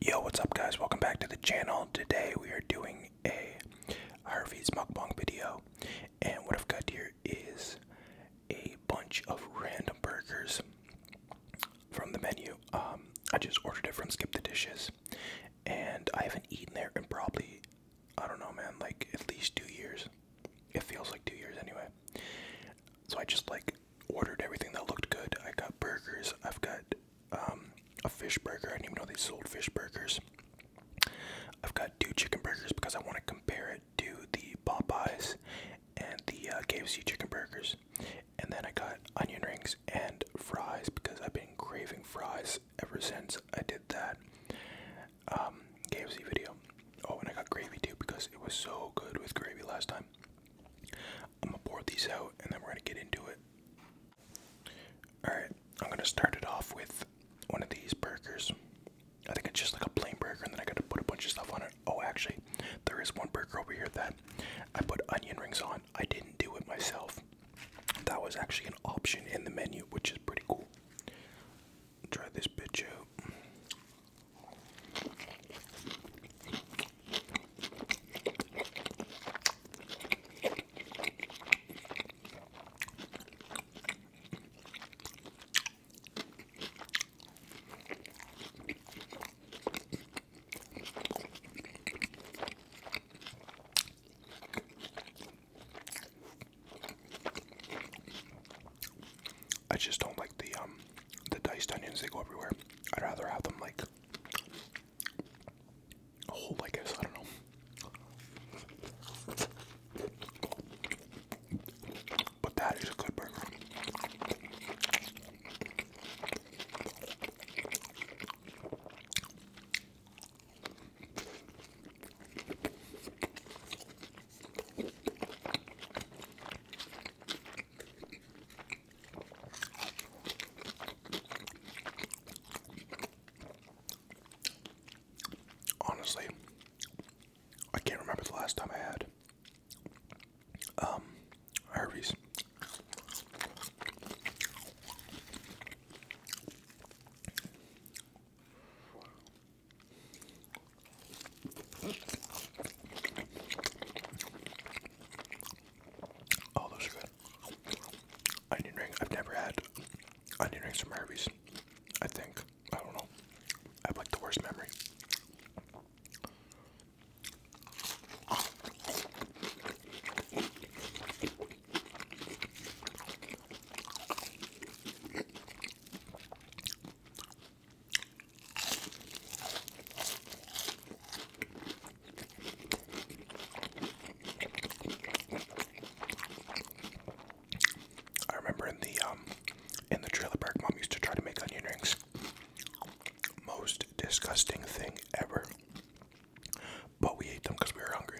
Yo, what's up guys? Welcome back to the channel. Today we are doing a Harvey's mukbang video. And what I've got here is a bunch of random burgers from the menu. Um, I just ordered it from Skip the Dishes. And I haven't eaten there in probably, I don't know man, like at least two years. It feels like two years anyway. So I just like ordered everything that looked good. I got burgers. I've got um, a fish burger. I didn't even know they sold fish burgers. I've got two chicken burgers because I want to compare it to the Popeyes and the uh, KFC chicken burgers. And then I got onion rings and fries because I've been craving fries ever since I did that um, KFC video. Oh, and I got gravy too because it was so good with gravy last time. I'm gonna pour these out and then we're gonna get into it. Alright, I'm gonna start it off with one of these burgers. I think it's just like a plain burger and then I gotta put a bunch of stuff on it. Oh, actually, there is one burger over here that I put onion rings on. I didn't do it myself. That was actually an option in the menu, which is pretty cool. Try this bitch out. I just don't like the um the diced onions, they go everywhere. I'd rather have them like whole, I guess. I don't know. But that is a good burger. Honestly, I can't remember the last time I had um, Harvey's. Oh, those are good. Onion ring. I've never had onion rings from Harvey's. I think. I don't know. I have like the worst memory. I remember in the um in the trailer park mom used to try to make onion rings. Most disgusting thing ever. But we ate them because we were hungry.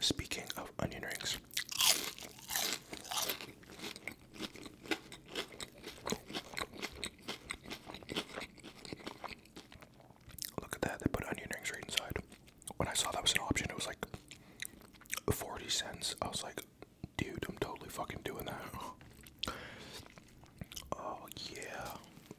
Speaking of onion rings, look at that. They put onion rings right inside. When I saw that was an option, it was like 40 cents. I was like, dude, I'm totally fucking doing that. Oh, yeah.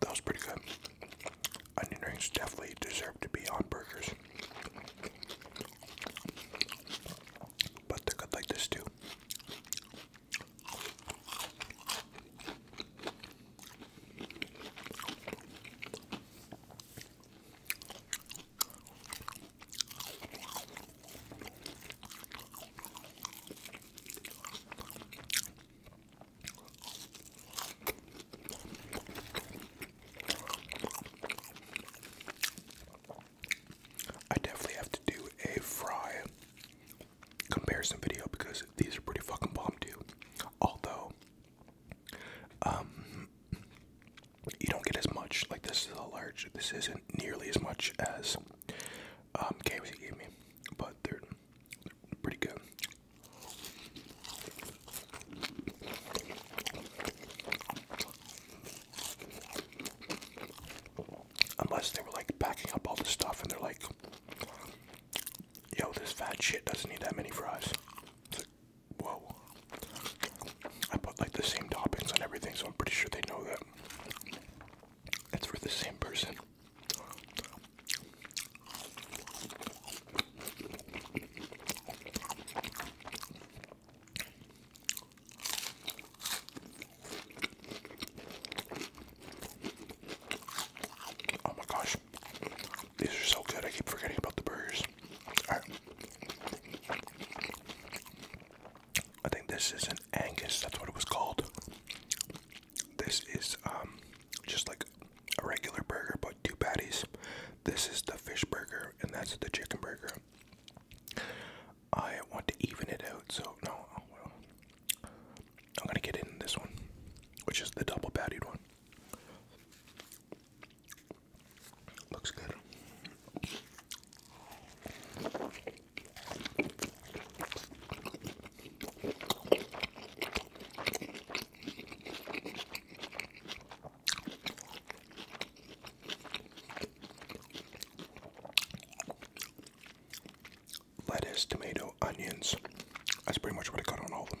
That was pretty good. Onion rings definitely deserve to be on burgers. But they're good like this too. I definitely have to do a fry comparison video because these are pretty fucking bomb too. Although, um, you don't get as much. Like this is a large. This isn't nearly as much as um, KFC gave me, but they're pretty good. Unless they were like packing up all the stuff and they're like, yo, this fat shit doesn't need that many fries. whoa. I put like the same toppings on everything, so I'm pretty sure they know that. It's for the same person. Oh my gosh. These are so good. I keep forgetting about the burgers. I think this is an Angus. That's what it was called. This is um, just like a regular burger, but two patties. This is the fish burger, and that's the chicken burger. I want to even it out, so no. Oh, well, I'm gonna get in this one, which is the double pattied one. Looks good lettuce, tomato, onions. That's pretty much what I got on all of them.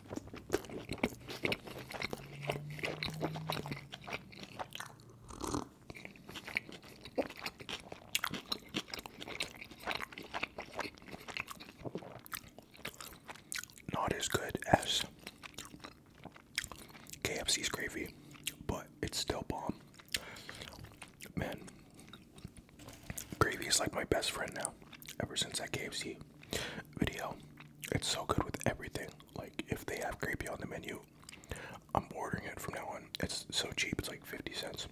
Not as good as KFC's gravy, but it's still bomb. Man, gravy is like my best friend now. Ever since that KFC video, it's so good with everything. Like if they have gravy on the menu, I'm ordering it from now on. It's so cheap. It's like 50 cents.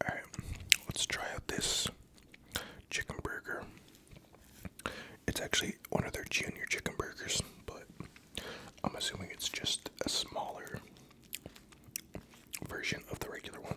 All right, let's try out this chicken burger. It's actually one of their junior chicken burgers, but I'm assuming it's just a smaller version of the regular one.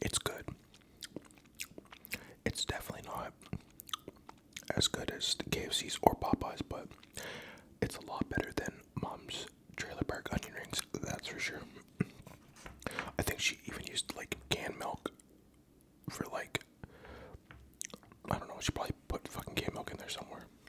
It's good. It's definitely not as good as the KFC's or Popeyes, but it's a lot better than Mom's Trailer Park onion rings, that's for sure. I think she even used like canned milk for like I don't know, she probably put fucking canned milk in there somewhere.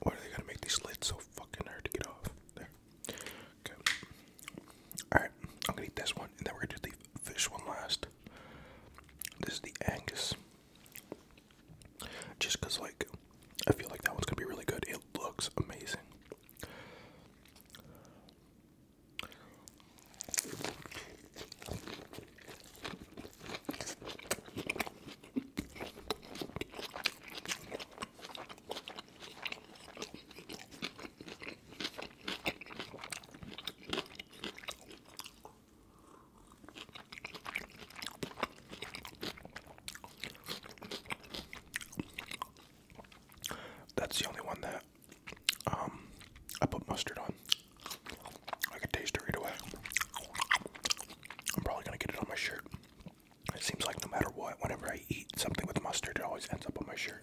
why are they gonna make these lids so fucking hard to get off? There. Okay. Alright, I'm gonna eat this one and then we're gonna do the fish one last. This is the Angus. Just because, like, I feel like that one's gonna be really good. It looks amazing. That's the only one that um, I put mustard on. I can taste it right away. I'm probably gonna get it on my shirt. It seems like no matter what, whenever I eat something with mustard, it always ends up on my shirt.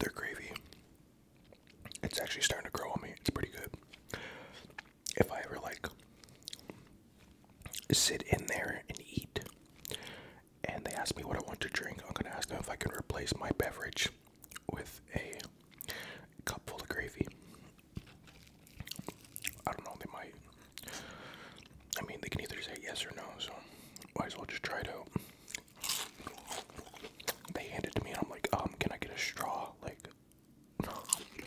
Their gravy, it's actually starting to grow on me. It's pretty good. If I ever like sit in there and eat. And they ask me what I want to drink. I'm gonna ask them if I can replace my beverage with a cup full of gravy. I don't know, they might. I mean, they can either say yes or no, so might as well just try it out. They handed it to me, and I'm like, um, can I get a straw? Like,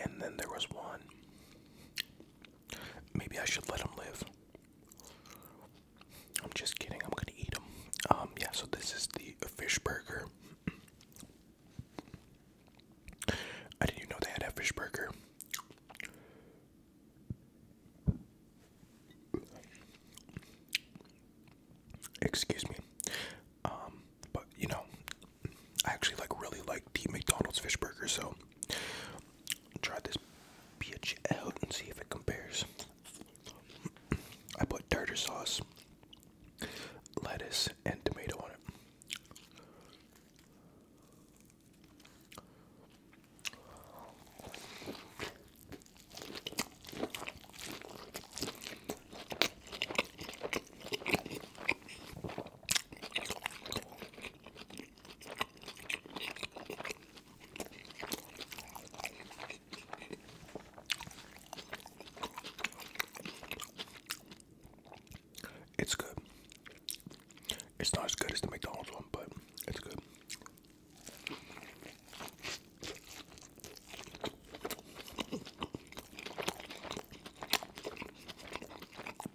And then there was one. Maybe I should let him live. I'm just kidding. I'm gonna eat them. Um, yeah. So this is the fish burger. I didn't even know they had a fish burger. Excuse me. Um, but you know, I actually like really like the McDonald's fish burger, so Try this bitch out and see if it compares. I put tartar sauce, lettuce, and tomato on it. It's good. It's not as good as the McDonald's one, but it's good.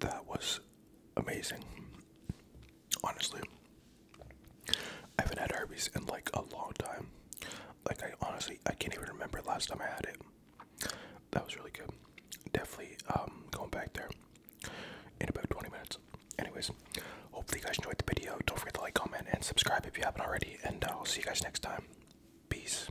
That was amazing. Honestly, I haven't had Arby's in like a long time. Like I honestly, I can't even remember last time I had it. That was really good. Definitely um, going back there in about 20 minutes. Anyways, hopefully you guys enjoyed the video. Don't forget to like, comment, and subscribe if you haven't already. And uh, I'll see you guys next time. Peace.